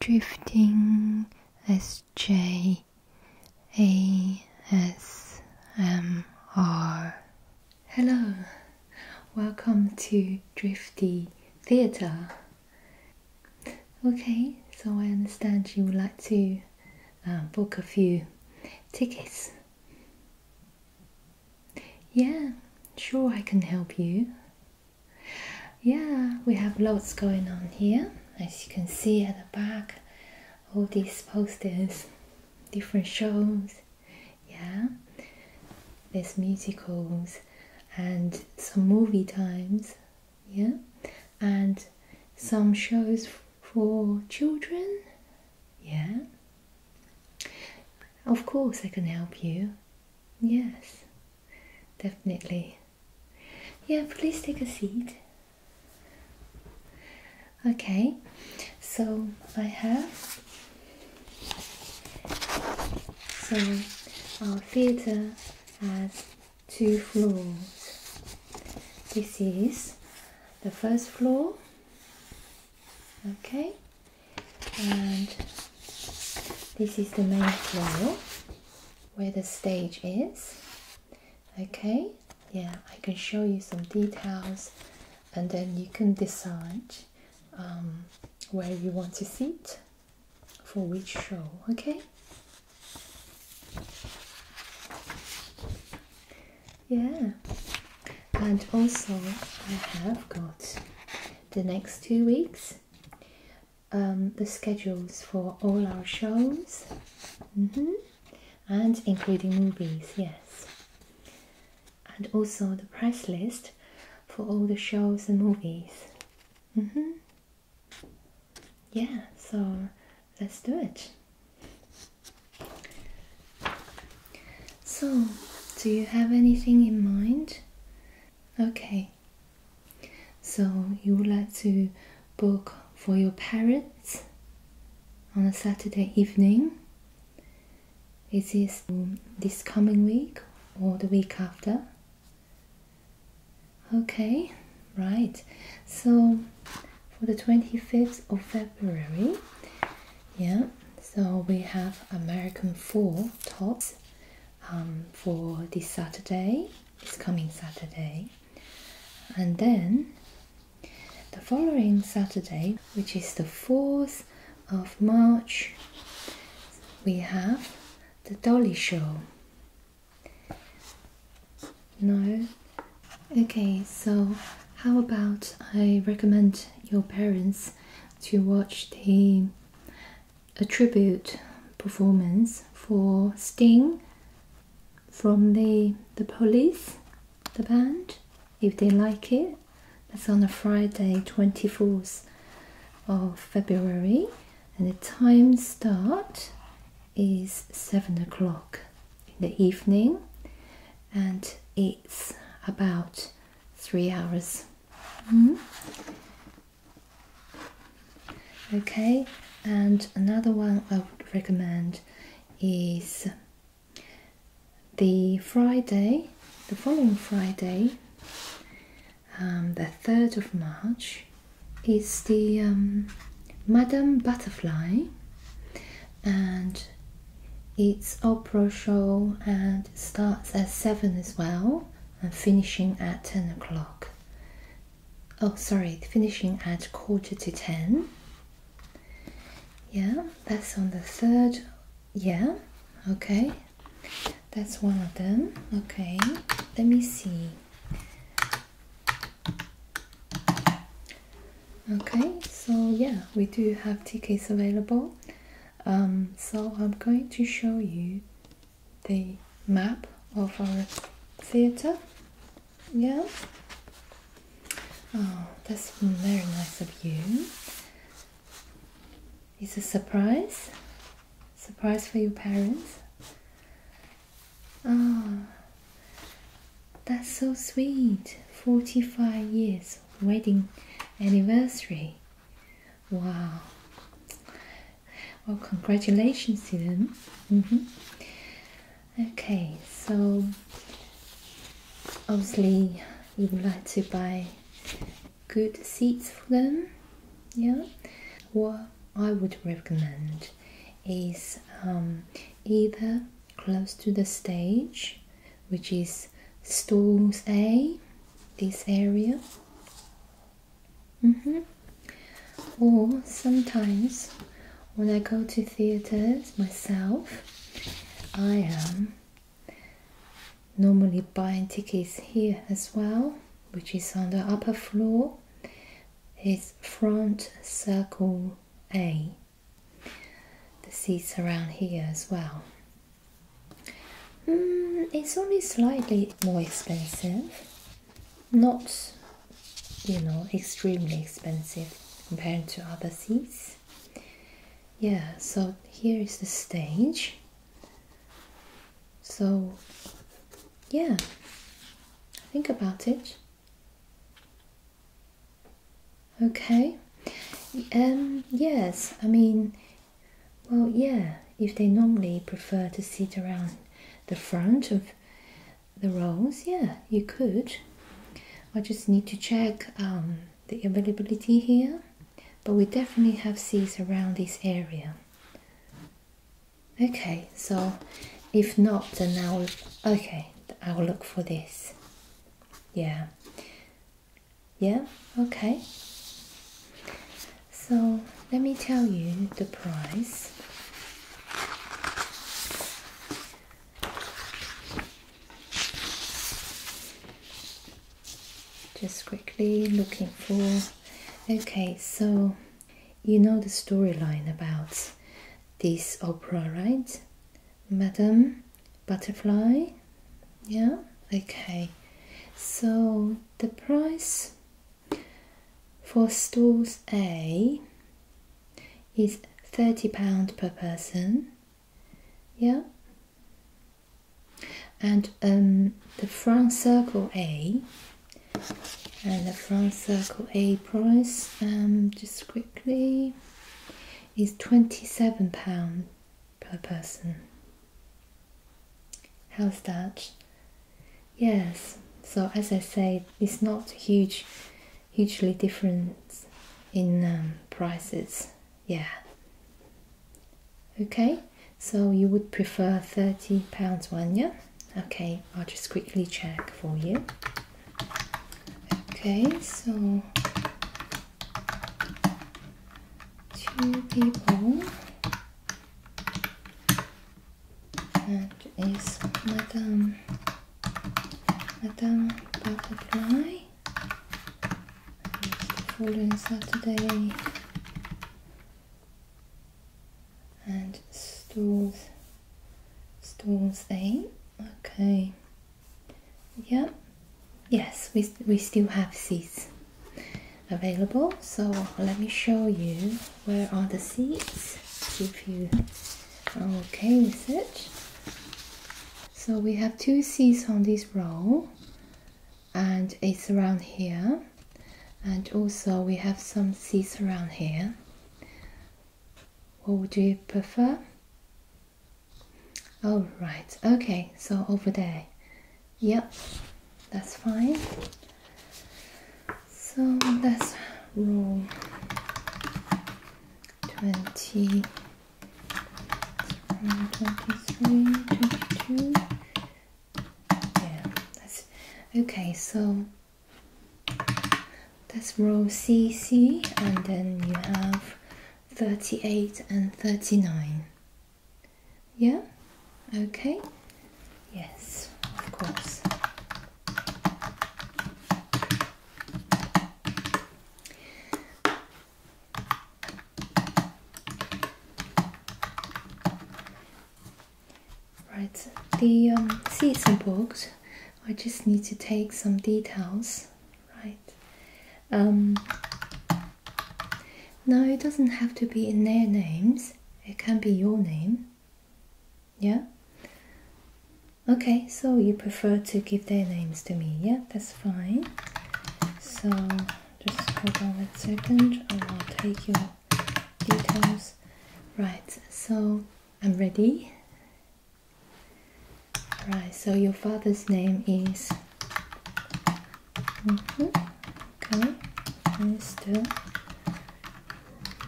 Drifting S J A S M R. Hello, welcome to Drifty Theatre. Okay, so I understand you would like to uh, book a few tickets. Yeah, sure, I can help you. Yeah, we have lots going on here. As you can see at the back, all these posters, different shows, yeah, there's musicals and some movie times, yeah, and some shows for children, yeah. Of course, I can help you, yes, definitely. Yeah, please take a seat. Okay, so I have so our theater has two floors. This is the first floor, okay, and this is the main floor where the stage is. Okay, yeah, I can show you some details and then you can decide um, where you want to sit for which show, okay? Yeah, and also I have got the next two weeks um, the schedules for all our shows mm-hmm, and including movies, yes, and also the price list for all the shows and movies. Mm -hmm. Yeah, so let's do it. So, do you have anything in mind? Okay, so you would like to book for your parents on a Saturday evening. Is this this coming week or the week after? Okay, right. So for the 25th of February, yeah, so we have American four tops um, for this Saturday, this coming Saturday, and then the following Saturday, which is the 4th of March, we have the Dolly Show. No? Okay, so how about I recommend your parents to watch the a tribute performance for Sting from the the police, the band, if they like it. That's on a Friday 24th of February and the time start is seven o'clock in the evening and it's about three hours. Mm-hmm. Okay, and another one I would recommend is the Friday, the following Friday, um, the 3rd of March, is the um, Madame Butterfly and it's opera show and starts at 7 as well and finishing at 10 o'clock Oh, sorry, finishing at quarter to ten. Yeah, that's on the third. Yeah, okay. That's one of them. Okay, let me see. Okay, so yeah, we do have tickets available. Um, so I'm going to show you the map of our theater. Yeah. Oh, that's very nice of you. It's a surprise. Surprise for your parents. Ah, oh, that's so sweet. 45 years wedding anniversary. Wow. Well, congratulations to them. Mm-hmm. Okay, so obviously you would like to buy good seats for them. Yeah, what I would recommend is um, either close to the stage, which is stalls A, this area, Mm-hmm. Or sometimes when I go to theaters myself, I am um, normally buying tickets here as well, which is on the upper floor. It's front circle A. The seats around here as well. Mm, it's only slightly more expensive, not you know extremely expensive compared to other seats. Yeah, so here is the stage. So, yeah, think about it. Okay, um, yes, I mean, well, yeah, if they normally prefer to sit around the front of the rows, yeah, you could. I just need to check um, the availability here, but we definitely have seats around this area. Okay, so if not, then I will, okay, I will look for this. Yeah. Yeah, okay. So let me tell you the price. Just quickly looking for. Okay, so you know the storyline about this opera, right? Madam Butterfly? Yeah? Okay. So the price for stalls A is £30 per person. Yeah. And um, the front circle A and the front circle A price um, just quickly is £27 per person. How's that? Yes, so as I say, it's not huge, hugely different in um, prices. Yeah. Okay, so you would prefer 30 pounds one, yeah? Okay, I'll just quickly check for you. Okay, so two people and is Madame Madame Butterfly following Saturday and stores stores A okay yep yes we, we still have seats available so let me show you where are the seats if you okay with it so we have two seats on this row and it's around here and also we have some seats around here what would you prefer all oh, right okay so over there Yep, that's fine. So that's us roll 20, 23, 22. Yeah, that's okay. So that's row CC, and then you have 38 and 39. Yeah? Okay. Yes, of course. Right, the um, seats are booked. I just need to take some details, right? Um, no, it doesn't have to be in their names. It can be your name. Yeah? Okay, so you prefer to give their names to me. Yeah, that's fine. So just hold on a second and I'll take your details. Right, so I'm ready. Right, so your father's name is Mm-hmm. Ok, Mister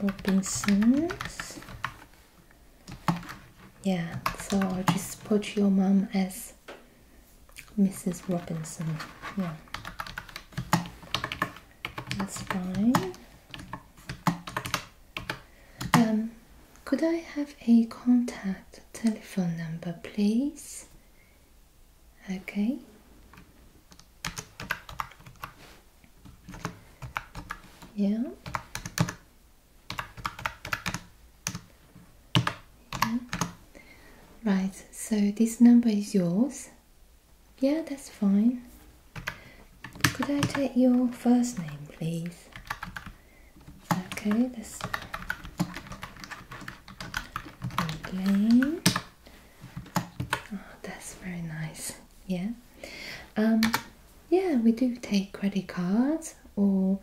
Robinson. Yeah, so I'll just put your mom as Mrs. Robinson. Yeah, that's fine. Um, could I have a contact telephone number, please? Okay. Yeah. yeah. Right, so this number is yours. Yeah, that's fine. Could I take your first name, please? Okay, that's Elaine. Oh, that's very nice. Yeah. Um, yeah, we do take credit cards, or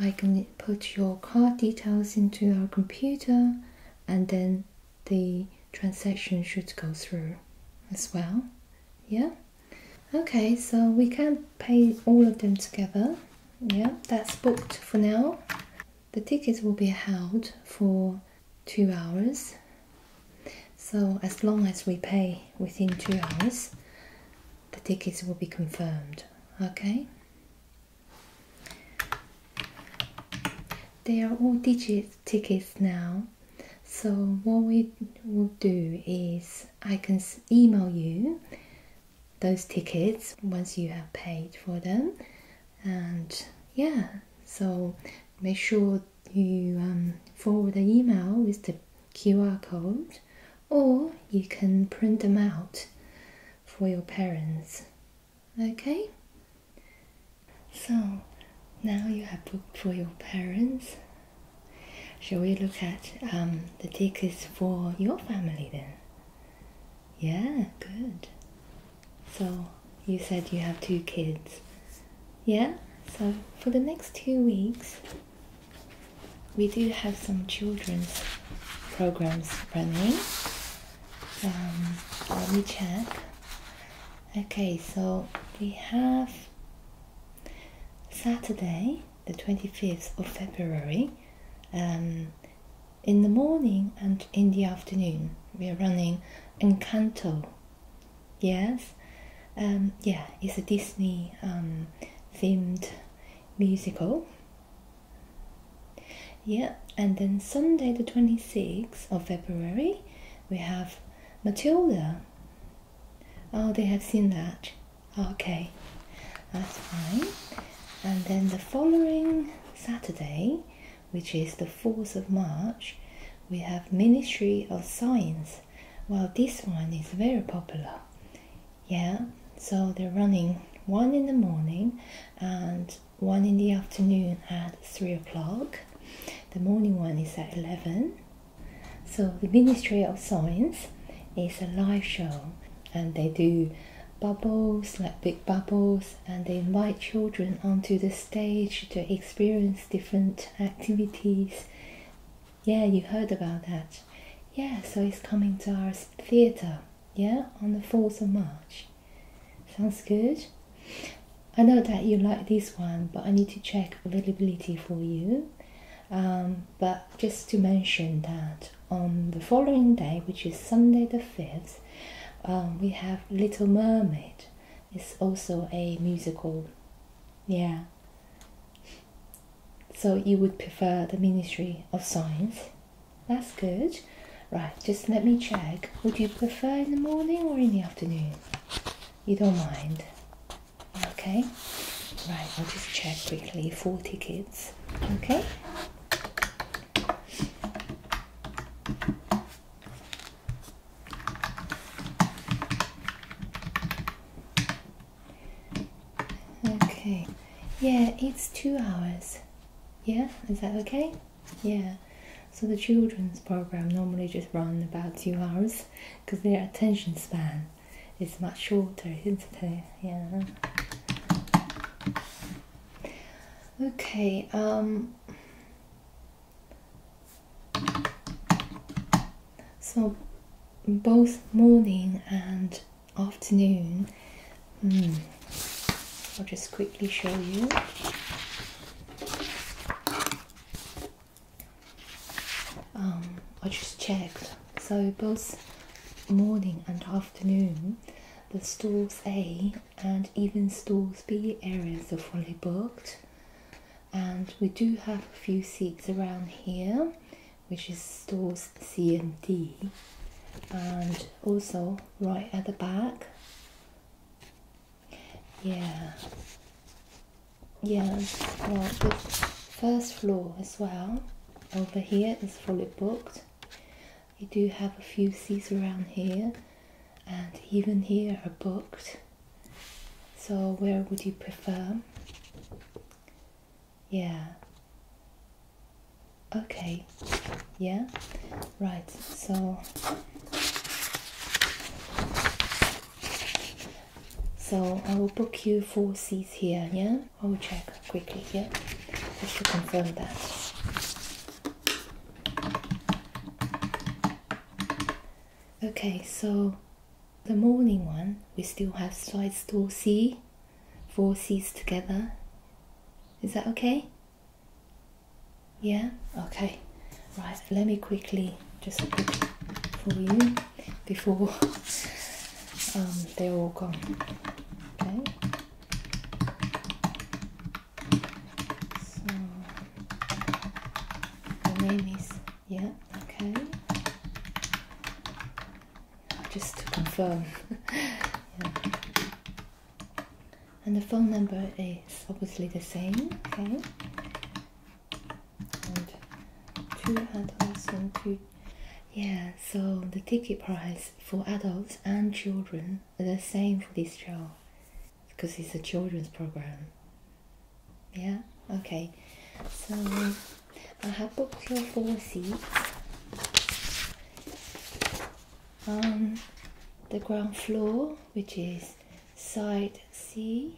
I can put your card details into our computer, and then the transaction should go through as well. Yeah. Okay, so we can pay all of them together. Yeah, that's booked for now. The tickets will be held for two hours. So as long as we pay within two hours, the tickets will be confirmed. Okay. They are all digit tickets now. So what we will do is I can email you those tickets once you have paid for them and yeah so make sure you um, forward the email with the qr code or you can print them out for your parents okay so now you have booked for your parents Shall we look at um, the tickets for your family then? Yeah, good. So you said you have two kids. Yeah, so for the next two weeks, we do have some children's programs running. Um, let me check. Okay, so we have Saturday, the 25th of February, um, in the morning and in the afternoon. We are running Encanto. Yes, um, yeah, it's a Disney um, themed musical. Yeah, and then Sunday, the 26th of February, we have Matilda. Oh, they have seen that. Okay, that's fine. And then the following Saturday, which is the 4th of March, we have Ministry of Science. Well, this one is very popular. Yeah, so they're running one in the morning and one in the afternoon at 3 o'clock. The morning one is at 11. So, the Ministry of Science is a live show and they do bubbles, like big bubbles, and they invite children onto the stage to experience different activities. Yeah, you heard about that. Yeah, so he's coming to our theatre, yeah, on the 4th of March. Sounds good. I know that you like this one, but I need to check availability for you. Um, but just to mention that on the following day, which is Sunday the 5th, um, we have Little Mermaid. It's also a musical. Yeah. So you would prefer the Ministry of Science. That's good. Right, just let me check. Would you prefer in the morning or in the afternoon? You don't mind. Okay. Right, I'll just check quickly. Four tickets. Okay. Okay, yeah, it's two hours. Yeah, is that okay? Yeah. So the children's program normally just run about two hours because their attention span is much shorter, isn't it? Yeah. Okay. Um. So both morning and afternoon, hmm, I'll just quickly show you. Um, I just checked. So both morning and afternoon, the stores A and even stalls Stalsby areas are fully booked. And we do have a few seats around here, which is stalls C and D, and also right at the back. Yeah, yeah, well, first floor as well over here is fully booked you do have a few seats around here, and even here are booked. So, where would you prefer? Yeah. Okay. Yeah. Right. So. So I will book you four seats here, yeah? I will check quickly, yeah? Just to confirm that. Okay, so the morning one, we still have slides two, c 4Cs together. Is that okay? Yeah? Okay. Right, let me quickly just look for you before um, they're all gone. Okay. So the name is yeah, okay. Just to confirm. yeah. And the phone number is obviously the same, okay? And two adults and two yeah, so the ticket price for adults and children the same for this show because it's a children's program. Yeah, okay. So I have booked your four seats. On um, the ground floor, which is side C,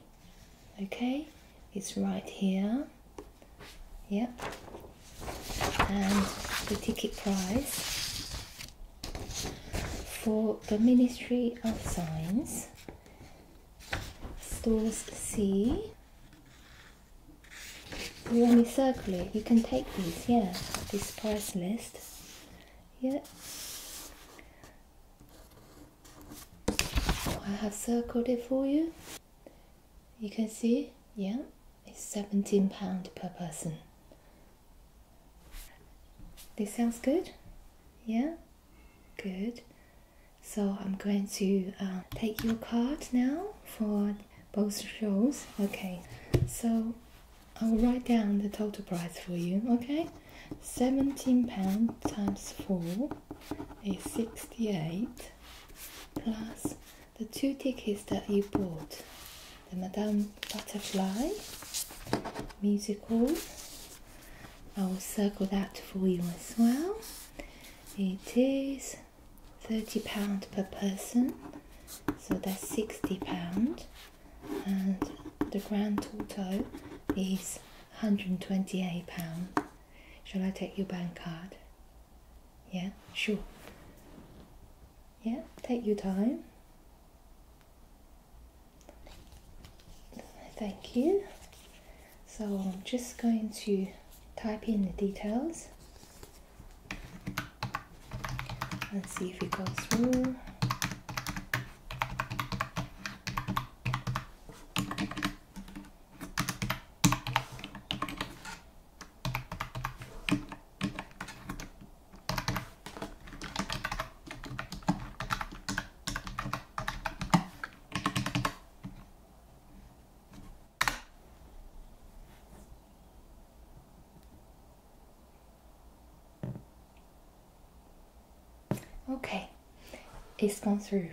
okay, it's right here. Yep, and the ticket price for the Ministry of Science, stores C. You want me to circle it? You can take these, yeah, this price list. Yeah. I have circled it for you. You can see, yeah, it's £17 per person. This sounds good? Yeah? Good. So I'm going to uh, take your card now for both shows. Okay, so I'll write down the total price for you, okay? 17 pound times 4 is 68 plus the two tickets that you bought the Madame Butterfly musical. I will circle that for you as well. It is £30 per person, so that's £60, and the grand total is £128. Shall I take your bank card? Yeah, sure. Yeah, take your time. Thank you. So I'm just going to type in the details and see if it goes through. Okay, it's gone through,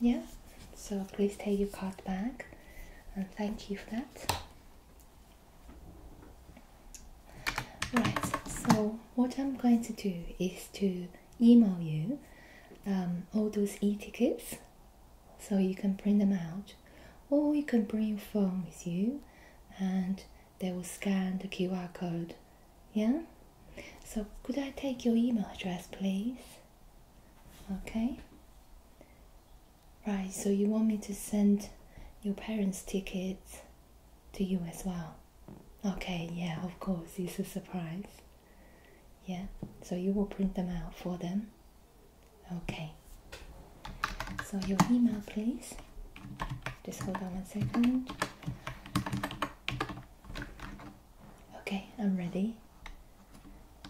yeah? So please take your card back and thank you for that. Right, so what I'm going to do is to email you um, all those e tickets so you can print them out, or you can bring your phone with you and they will scan the QR code. Yeah? So, could I take your email address, please? Okay. Right, so you want me to send your parents' tickets to you as well? Okay, yeah, of course, it's a surprise. Yeah, so you will print them out for them? Okay. So your email, please. Just hold on one second. Okay, I'm ready.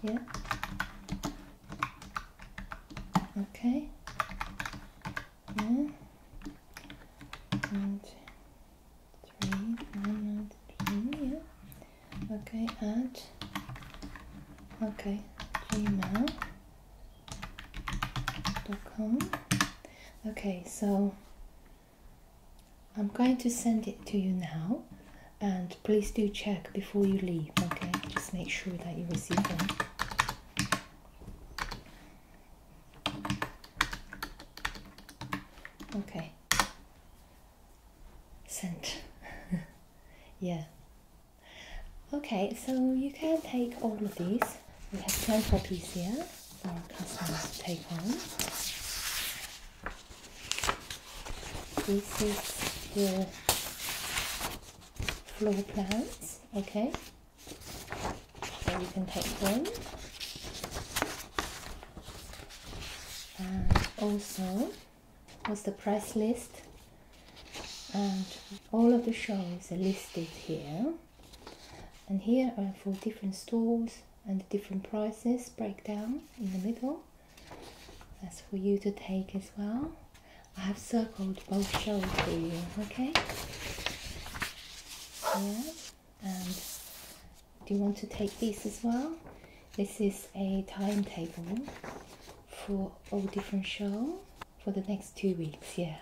Yeah. Okay. Yeah. And three, one, and three. Yeah. Okay. Add. Okay. Gmail. Dot com. Okay. So I'm going to send it to you now, and please do check before you leave. Okay. Just make sure that you receive them. Okay. Sent. yeah. Okay, so you can take all of these. We have 10 copies here for our take one. This is your floor plans, okay? So you can take them. And also, was the price list? And all of the shows are listed here. And here are for different stores and different prices breakdown in the middle. That's for you to take as well. I have circled both shows for you, okay? Yeah. And do you want to take these as well? This is a timetable for all different shows for the next two weeks, yeah.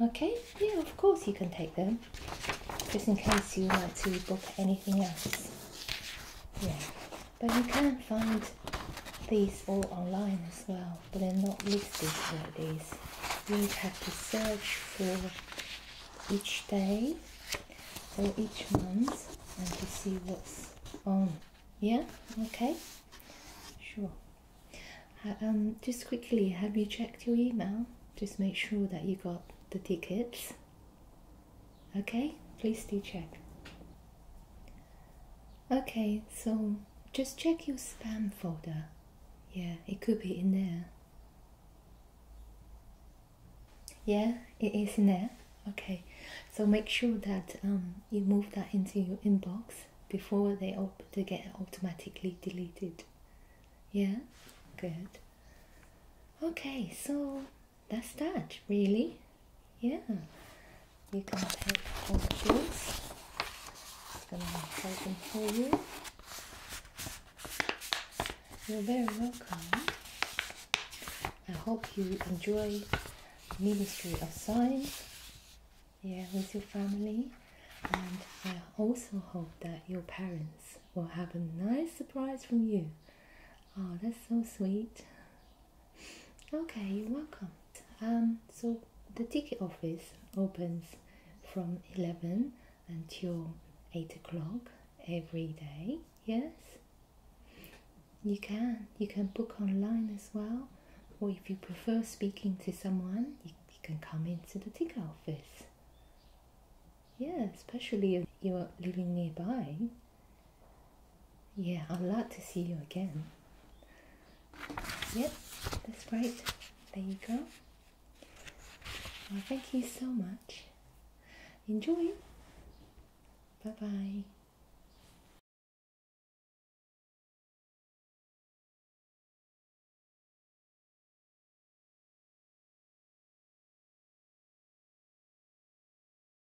Okay, yeah, of course you can take them. Just in case you want to book anything else. Yeah. But you can find these all online as well, but they're not listed like this. You have to search for each day or each month and to see what's on. Yeah? Okay? Sure. Um, just quickly, have you checked your email? Just make sure that you got the tickets. Okay? Please do check. Okay, so just check your spam folder. Yeah, it could be in there. Yeah, it is in there. Okay, so make sure that um, you move that into your inbox before they get automatically deleted. Yeah, good. Okay, so that's that really yeah, you can take all the jewels. Just gonna take them for you. You're very welcome. I hope you enjoy Ministry of Science. Yeah, with your family, and I also hope that your parents will have a nice surprise from you. Oh, that's so sweet. Okay, welcome. Um, so the ticket office opens from 11 until 8 o'clock every day, yes? You can. You can book online as well, or if you prefer speaking to someone, you can come into the ticket office. Yeah, especially if you are living nearby. Yeah, I'd like to see you again. Yep, that's great. There you go. Well, thank you so much. Enjoy. Bye bye.